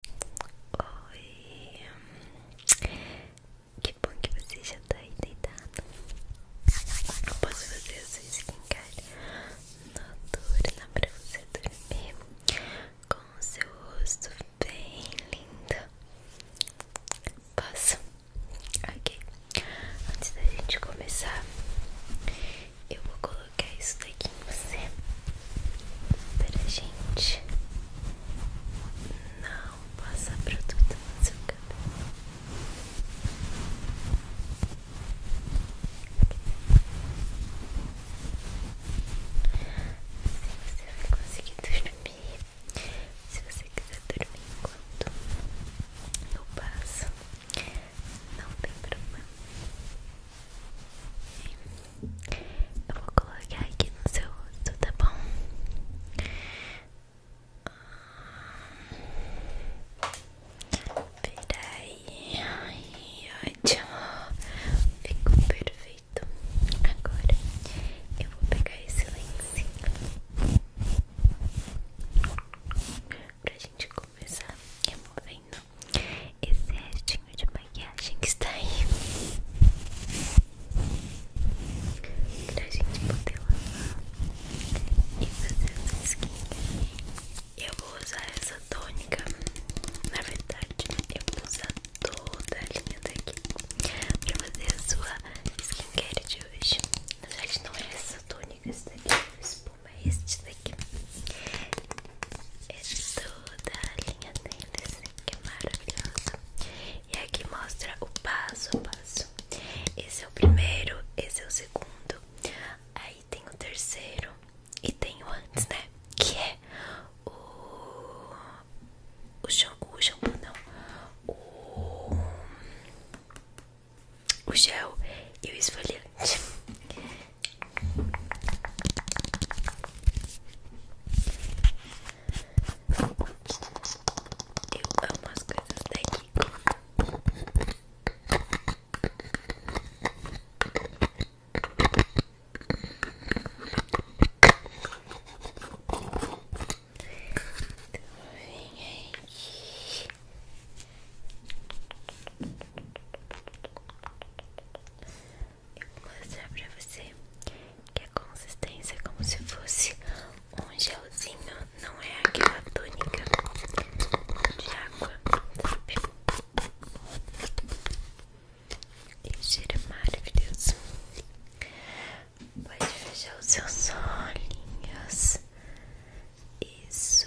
Oi, que bom que você já tá aí deitado. posso fazer a sua skincare noturna pra você dormir com o seu rosto bem lindo. Posso? Ok, antes da gente começar, eu vou colocar isso aqui em você para gente não passar produto no seu cabelo. Assim você vai conseguir dormir. Se você quiser dormir enquanto eu passo, não tem problema. Eu vou colocar aqui no seu rosto, tá bom? Peraí, ai, ótimo, ficou perfeito. Agora eu vou pegar esse lencinho pra gente começar removendo esse restinho de maquiagem que está aí pra gente poder lavar e fazer essa skincare. Eu vou usar essa tônica, na verdade, eu vou usar toda a linha daqui pra fazer a sua skincare de hoje. Na verdade, não é essa tônica, essa daqui, é espuma é este daqui é toda a linha deles, que é maravilhosa. E aqui mostra o passo a passo. Esse é o primeiro, esse é o segundo. Aí tem o terceiro e tem o antes, né? Que é o o shampoo, o shampoo não. O o gel e o esfoliante. Eu amo as coisas daqui. Então, vem aqui. Vem eu vou mostrar pra você que a consistência é como se fosse um gelzinho, não é aquela tônica de água, sabe? cheiro maravilhoso. Pode fechar os seus olhinhos. Isso.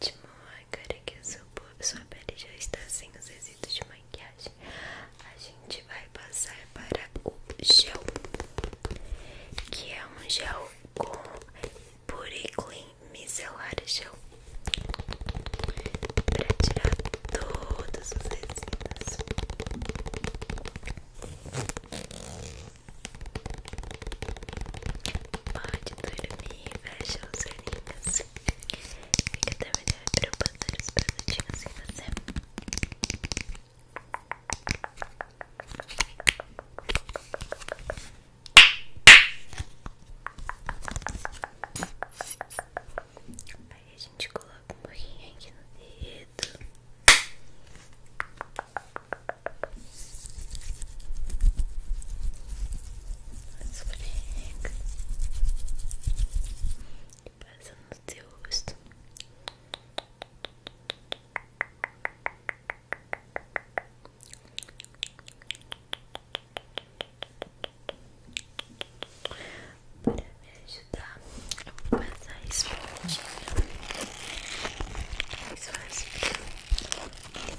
Ótimo, agora que a sua, sua pele já está sem os resíduos de a gente vai passar para o gel, que é um gel com Puriclin micelar gel, para tirar todos os resíduos. Pode dormir, fecha os olhinhos. Fica até para pra presentinhos em você. Aí a gente coloca um pouquinho aqui no dedo. Esfrega e passa no seu rosto. Para me ajudar, eu vou passar esponjinha mais fácil para melhor.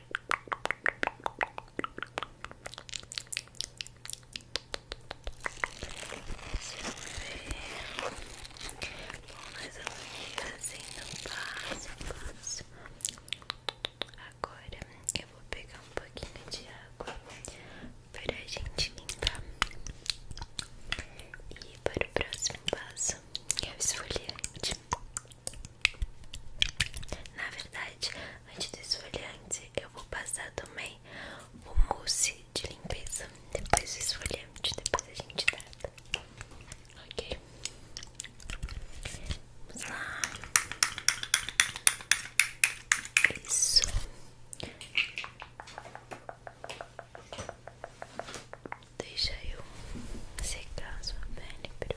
Bom, mas eu vou assim não passo, passo. Agora eu vou pegar um pouquinho de água para a gente limpar. E para o próximo passo é o esfoliante. Na verdade, antes do esfoliante, eu vou passar também o mousse de limpeza. Depois o esfoliante, depois a gente trata. Ok? Vamos lá. Isso. Deixa eu secar a sua pele, por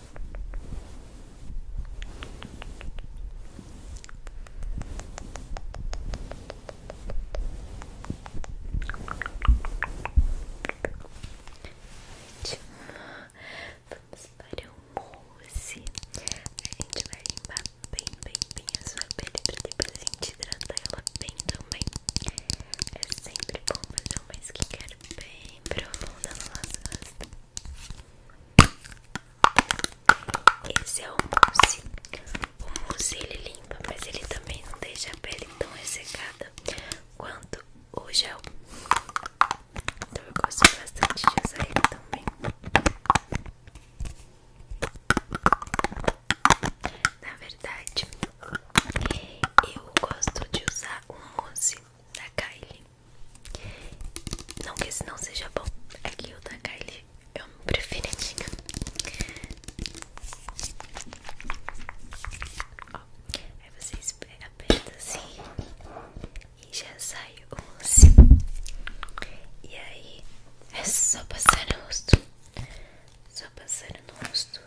Vamos para o mousse. A gente vai limpar bem, bem, bem a sua pele pra depois a gente hidratar ela bem também. É sempre bom fazer uma skincare bem profunda no nosso rosto. Esse é o mousse. O mousse ele limpa, mas ele também não deixa a pele tão ressecada quanto o gel. Então eu gosto bastante de usar ele também. Na verdade, eu gosto de usar o mousse da Kylie. Não que esse não seja bom, aqui o da Kylie eu é o meu preferidinho. Ó, aí você espera, aperta assim e já sai o mocinho. E aí é só passar no rosto. Só passar no rosto. rosto.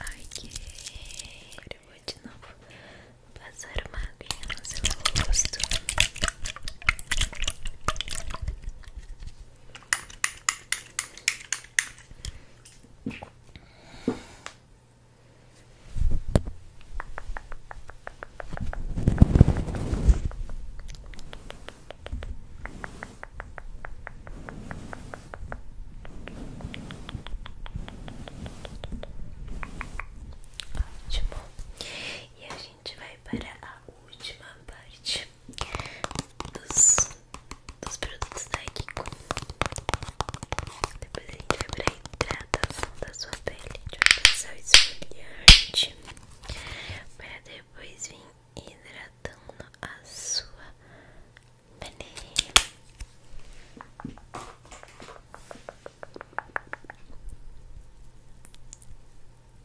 Ok, agora eu vou de novo passar uma aguinha no seu rosto. Ótimo. E a gente vai para a última parte dos, produtos da Kiko. Depois a gente vai pra hidratação da sua pele. de um vai passar esfoliante para depois vir hidratando a sua pele. Muito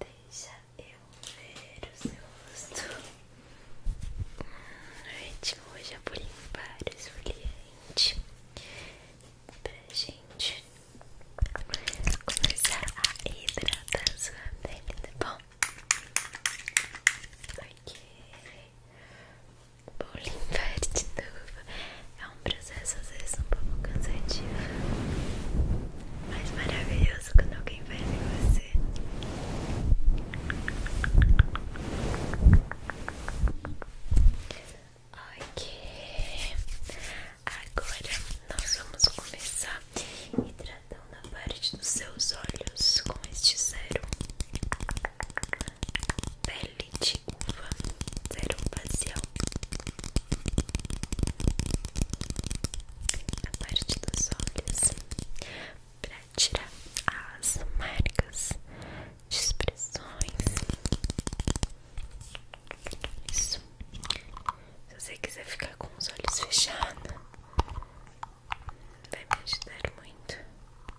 Deixa eu ver o seu rosto. Gente, hoje eu vou limpar o esfoliante pra gente começar a hidratar sua pele, tá bom? Ok, Vou verde de É um processo às vezes um pouco cansativo, mas maravilhoso quando alguém faz em você. Ok, agora nós vamos começar hidratando a parte dos seus olhos com este sérum. Belo Óleo de uva Sérum facial A parte dos olhos Pra tirar as marcas de expressões Isso Se você quiser ficar com os olhos fechados Vai me ajudar muito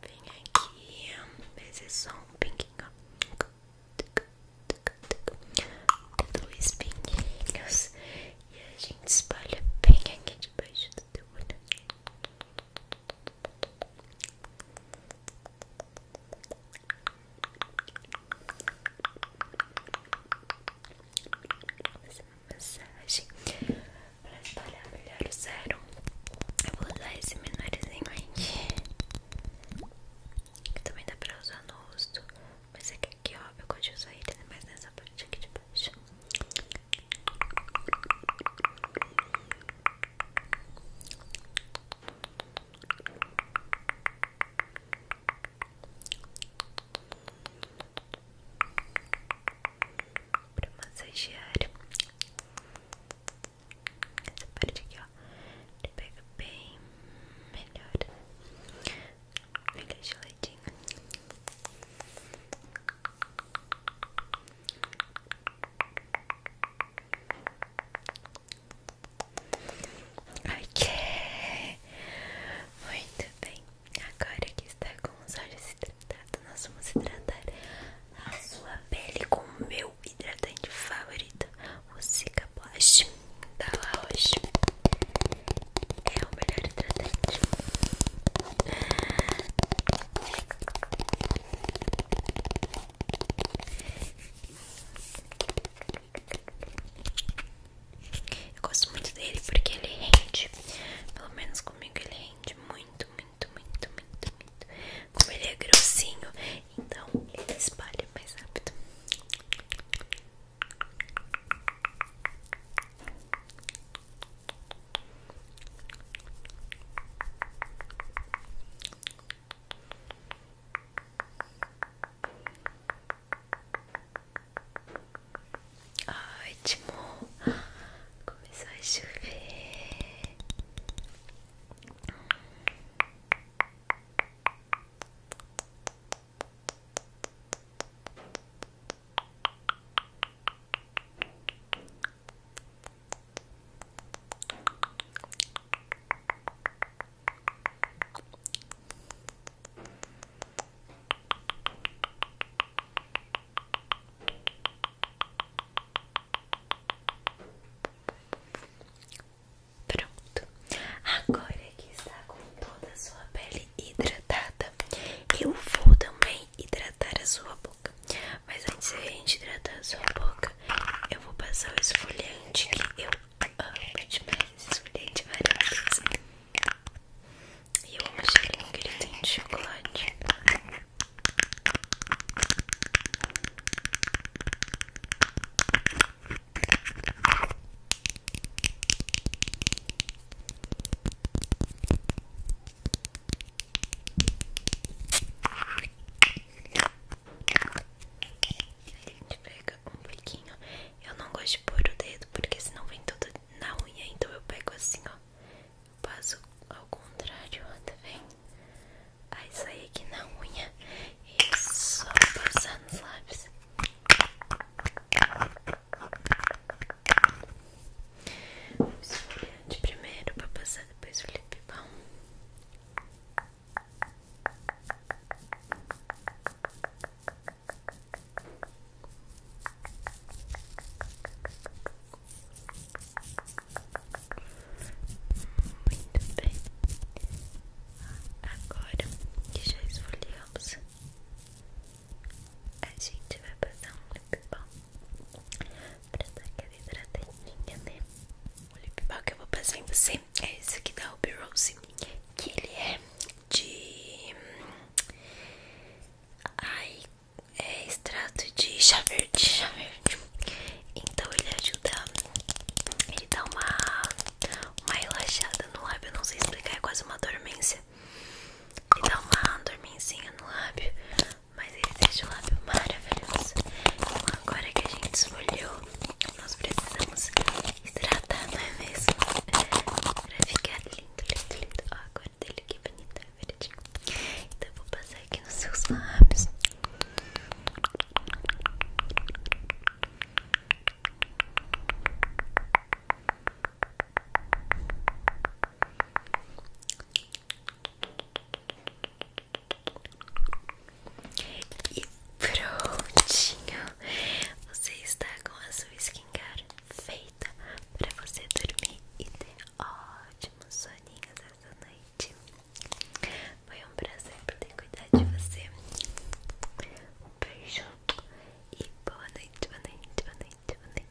Vem aqui, faz esse som, pinguinho. Tudo os pinguinhos. E a gente espalha bem aqui debaixo do vou Fazer uma massagem para espalhar melhor o sérum. Eu vou usar esse menorzinho aqui. Que também dá pra usar no rosto. Mas é que aqui, ó, eu gosto de usar ele mais nessa parte aqui de baixo. Pra massagear essa parte aqui, ó. Ele pega bem melhor. Fica Ok, muito bem. Agora que está com os olhos hidratados, nós vamos hidratar a sua pele com o meu hidratante favorito, o Cica Blush da tá La Roche. É o melhor hidratante. Eu gosto muito dele porque ele rende. Pelo menos comigo ele rende muito, muito, muito, muito, muito. Como ele é grossinho, então ele espalha mais rápido. Ótimo, começou a chover. Pronto, agora que está com toda a sua pele hidratada, eu vou também hidratar a sua boca. Mas antes de gente hidratar a sua boca, eu vou passar o esfoliante que eu amo demais. Esse esfoliante maravilhoso. E eu amo o cheirinho que ele tem chocolate. A gente pega um biquinho Eu não gosto de pôr o dedo porque senão vem tudo na unha. Então eu pego assim, ó. Passo ao contrário, ó, tá vendo? Aí sai aqui na unha e só passar os lábios esfoliante primeiro para passar depois o lip balm. Muito bem. Agora que já esfoliamos, a gente vai passar um lip balm pra dar aquela hidratadinha, né? O lip balm que eu vou passar em você é esse aqui da Ruby Rose, que ele é de... Ai, é extrato de chá verde, chá verde. Então ele ajuda, ele dá uma, uma relaxada no lábio, eu não sei explicar, é quase uma dormência. Ele dá uma dormencinha no lábio, mas ele deixa o lábio maravilhoso. Então, agora que a gente esfoliou, nós precisamos hidratar, não é mesmo? Pra ficar lindo, lindo, lindo. Ó, a cor dele que bonita, é verdinho. Então, eu vou passar aqui nos seus lábios. E prontinho, você está com a sua skincare feita para você dormir e ter ótimos soninhos essa noite. Foi um prazer poder cuidar de você. Um beijo e boa noite, boa noite, boa noite, boa noite.